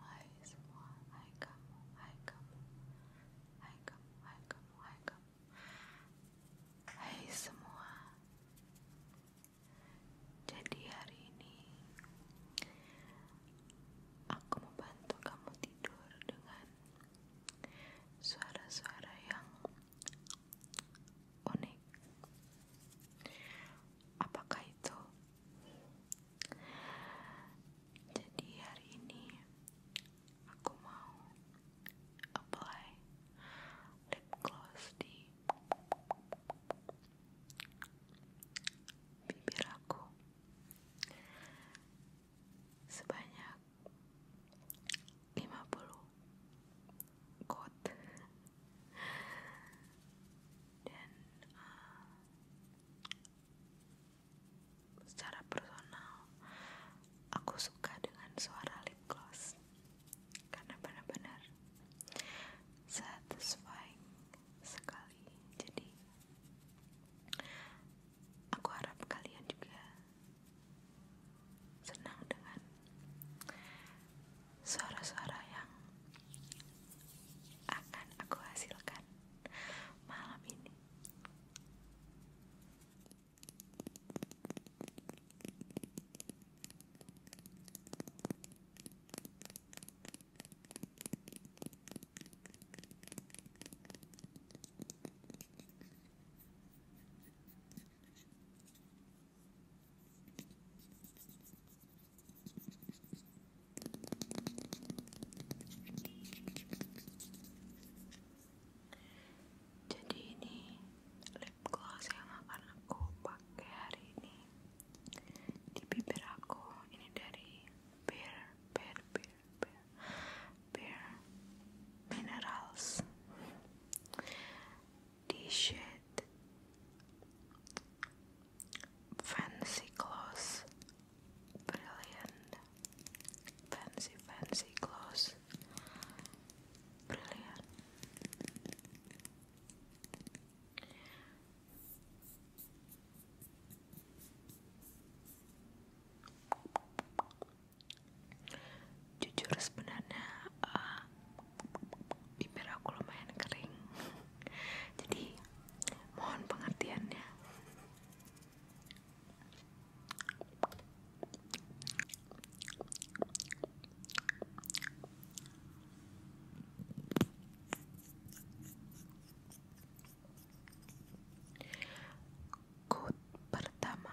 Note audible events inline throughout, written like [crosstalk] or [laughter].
Hai semua, hai kamu, hai kamu, hai kamu, hai kamu, hai kamu, hai semua. Jadi hari ini aku mau bantu kamu tidur dengan suara-suara yang unik. Apakah itu jadi hari ini aku mau apply lip gloss di bibir aku sebanyak lima puluh kot dan eh, Secara personal, aku suka dengan suara lip gloss karena benar-benar satisfying sekali. Jadi, aku harap kalian juga senang dengan suara-suara yang akan aku hasilkan malam ini jadi ini lip gloss yang akan aku pakai hari ini di bibir aku. Ini dari Bare Bare Bare Bare Bare Minerals di shade Fancy Gloss brilliant fancy fancy clothes, brilliant jujur sebenarnya uh, eh, bibir aku lumayan kering [laughs] jadi mohon pengertiannya kut pertama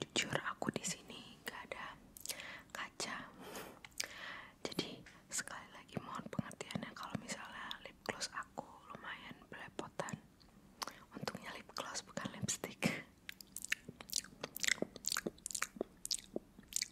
Jujur aku di sini nggak ada kaca. Jadi sekali lagi mohon pengertian ya kalau misalnya lip gloss aku lumayan belepotan. Untungnya lip gloss bukan lipstick.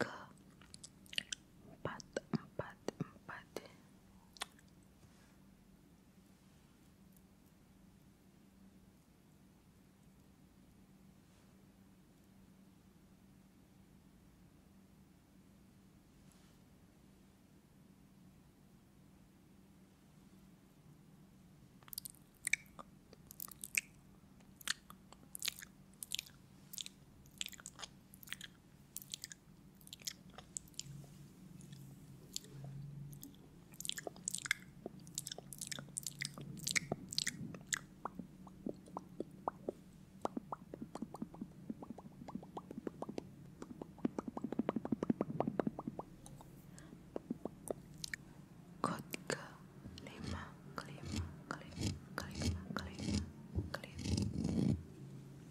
ke empat empat empat Kotke lima kelima kelima kelima kelima kelima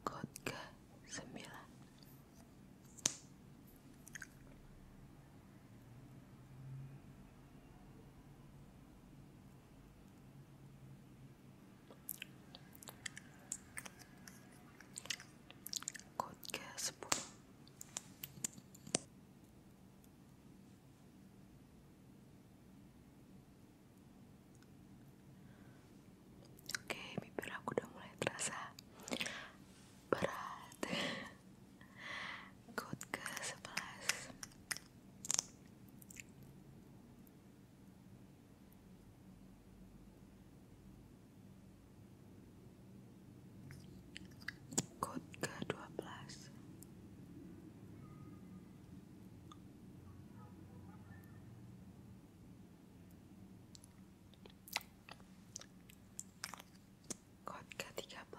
Kod ke sembilan Kod ke sepuluh Oke, okay, bibir aku udah mulai terasa berat. [laughs] Good ke sebelas. Kod ke-12 Kod ke-13 Kod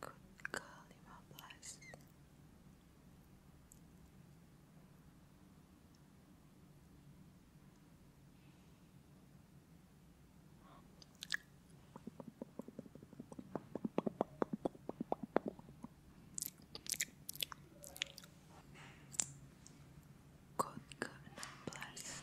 Good girl, you are blessed. Good, good, bless.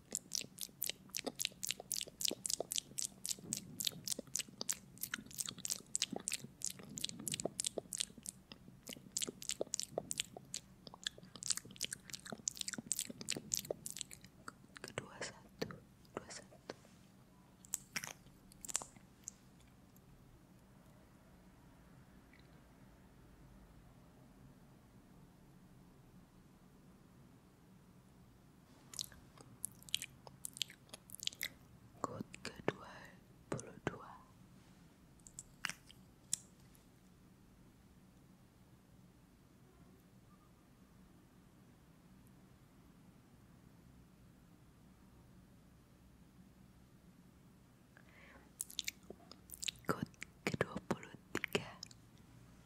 kedua satu dua satu Good kedua puluh dua. Good ke puluh tiga.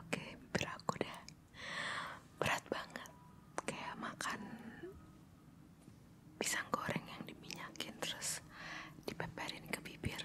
Oke, bibir aku deh, berat banget, kayak makan pisang goreng yang diminyakin terus dipeperin ke bibir.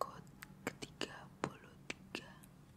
Kod ketiga puluh tiga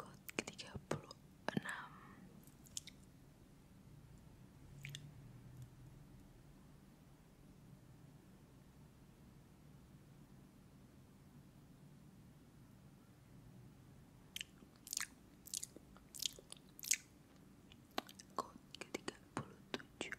Quote ke-36 Quote ke-37 37 37 tujuh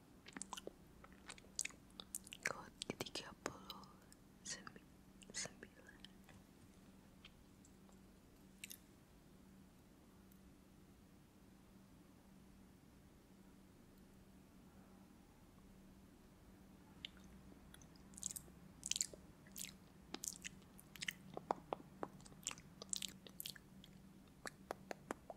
Kod tiga puluh sembilan.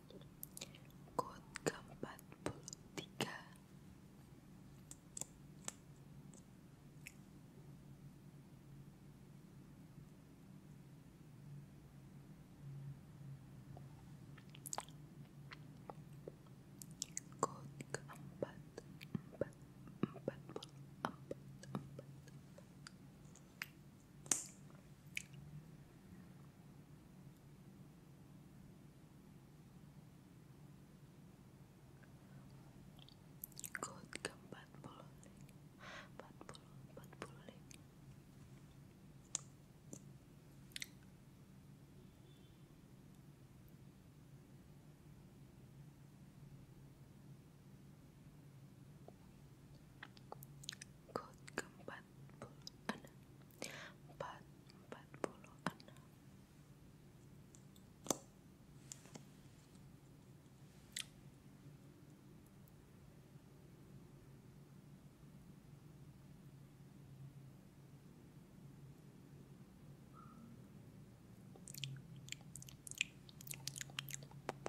Quote ke-43 Quote ke-44 44 44 44 Good ke empat puluh, empat puluh, empat puluh lima. Good empat empat puluh enam empat empat puluh enam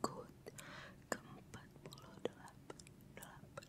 Good keempat puluh delapan delapan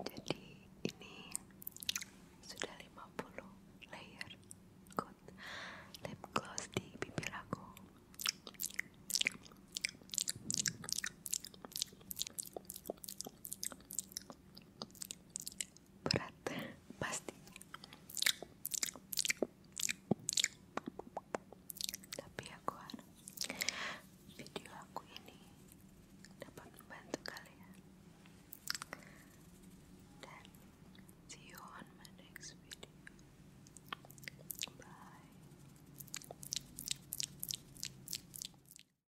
Jadi ini sudah 50 layer good lip gloss di bibir aku berat pasti tapi aku harap video aku ini dapat membantu kalian dan see you on my next video bye